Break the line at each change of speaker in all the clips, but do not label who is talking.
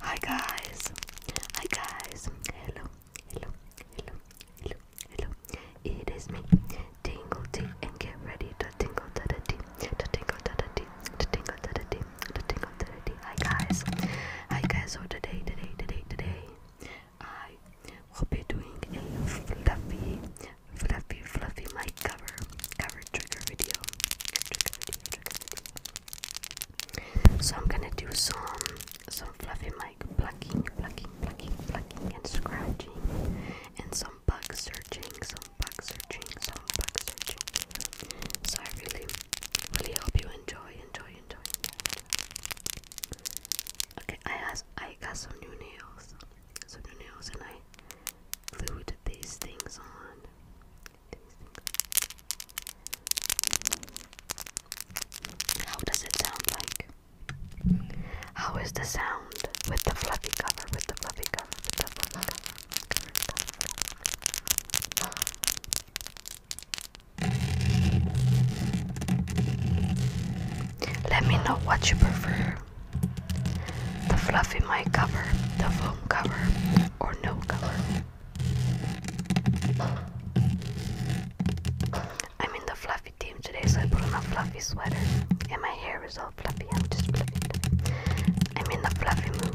Hi guys, hi guys, hello, hello, hello, hello, hello. It is me, Tingle T, and get ready to tingle to the tea, to tingle to the tea, to tingle to the tea, to tingle to the tea. Hi guys, hi guys. So today, today, today, today, I will be doing a fluffy, fluffy, fluffy mic cover, cover trigger video, trigger video, so I'm gonna do some some fluffy mic plucking, plucking, plucking, plucking, and scratching, and some bug searching, some bug searching, some bug searching. So I really, really hope you enjoy, enjoy, enjoy. enjoy. Okay, I has I got some new nails, some new nails, and I glued these things on. How does it sound like? How is the sound with the fluffy cover? With the fluffy cover? With the fluffy cover? Let me know what you prefer. The fluffy mic cover, the cover or no cover. I'm in the fluffy team today, so I put on a fluffy sweater, and my hair is all fluffy. I'm just fluffy. I'm in the fluffy mood.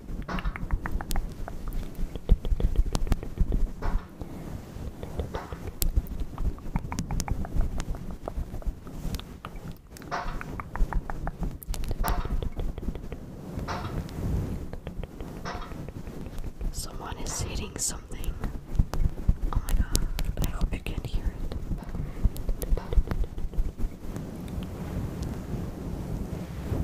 Someone is hitting something. Oh my god, I hope you can hear it.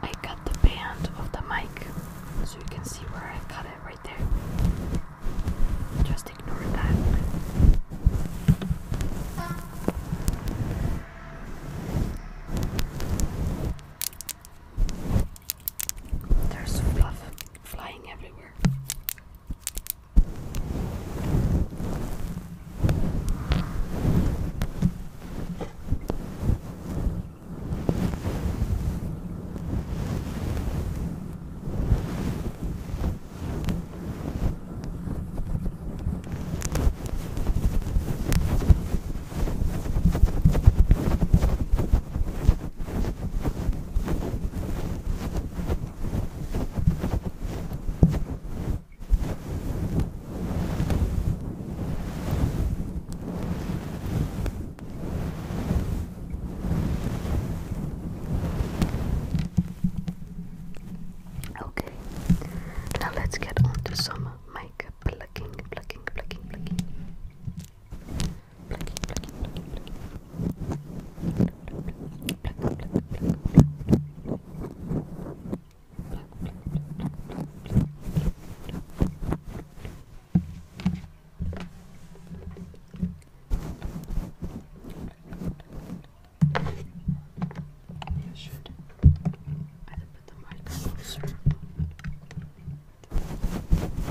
I cut the band of the mic so you can see where I cut it right there. Just ignore that. There's fluff flying everywhere. Okay, now let's get on to some mic plucking, plucking, plucking, plucking. I should either put the mic closer. Or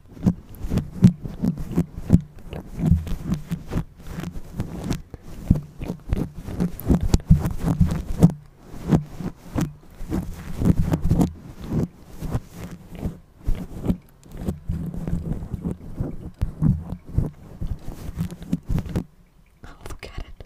Oh, look at it.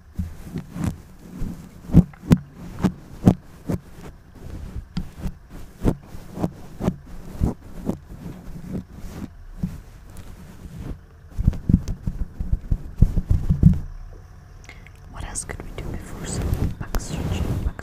What else could we do before some back stretching, back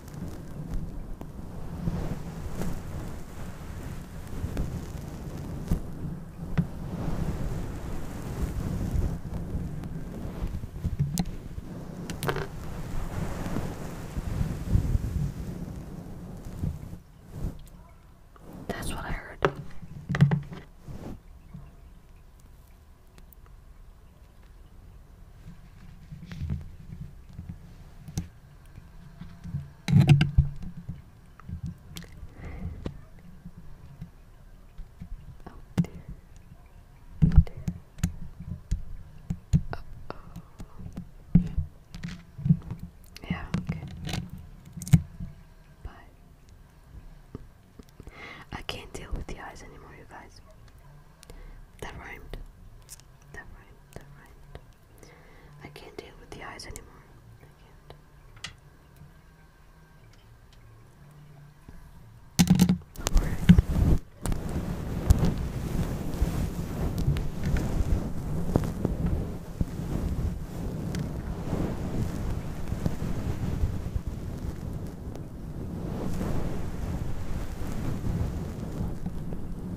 That's what I heard. Oh dear. Oh Yeah, okay. But I can't deal with the eyes anymore, you guys. That rhymed. That rhymed. That rhymed. I can't deal with the eyes anymore. I can't. All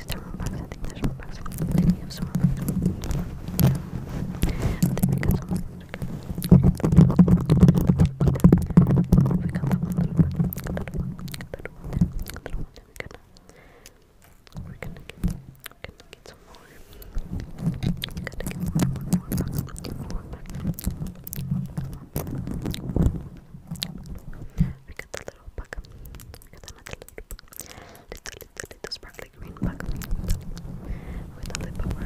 least they're Robux. I think there's Robux. Did he have some Robux? I think we got some Robux. We got that one little one. That one. That one there. That one there. We're gonna, we're gonna get, we're gonna get some more. We gotta get more, more, more Robux. Get more Robux. We got the little buck. We got another little buck little, little, little sparkly green bag with a lip balm.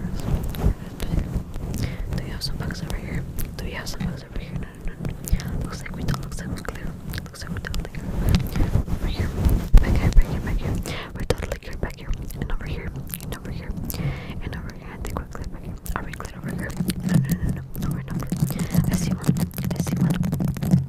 Do you have some bags over here? Do you have some bags over here? No, no, no. Looks like we don't. Looks like we're clear. Looks like we don't think over here. Back here, back here, back here. We're totally clear back here. And over here. And over here. And over here. I think we're clear back here. Are we clear over here? No, no, no, no. No, we're not. I see one. I see one.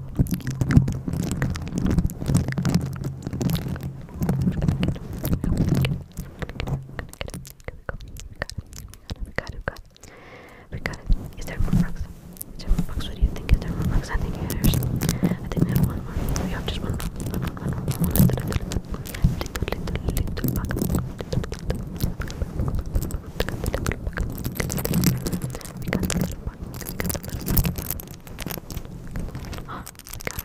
We got it, we got it. Is there more frogs? Is there more frogs? What do you think? Is there more frogs? I think there's. I think we have one more. We have just one. One, one, one, one, one. Little, little, little bug. Little, little bug. We got the little one. Look at the little one. we got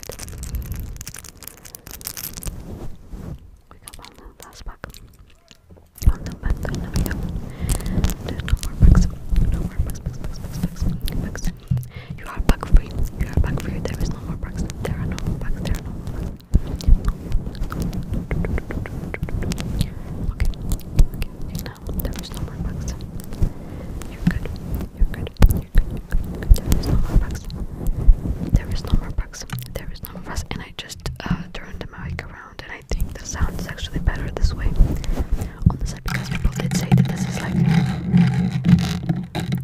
it. We got one last pack. One little pack that now we no more packs. No more packs, You are pack free. You are pack free. There is no more packs. There are no more There are no more okay, okay now. There is no more bugs. You're good. You're good. You're good. You're good. There is no more bugs. There is no more bugs. There is no more bugs. And I just uh, turned the mic around, and I think the sound is actually better this way. On the side, because people did say that this is like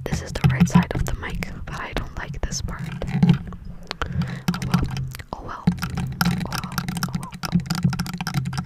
this is the right side of the mic, but I don't like this part. Oh well. Oh well. Oh well. Oh well. Oh well.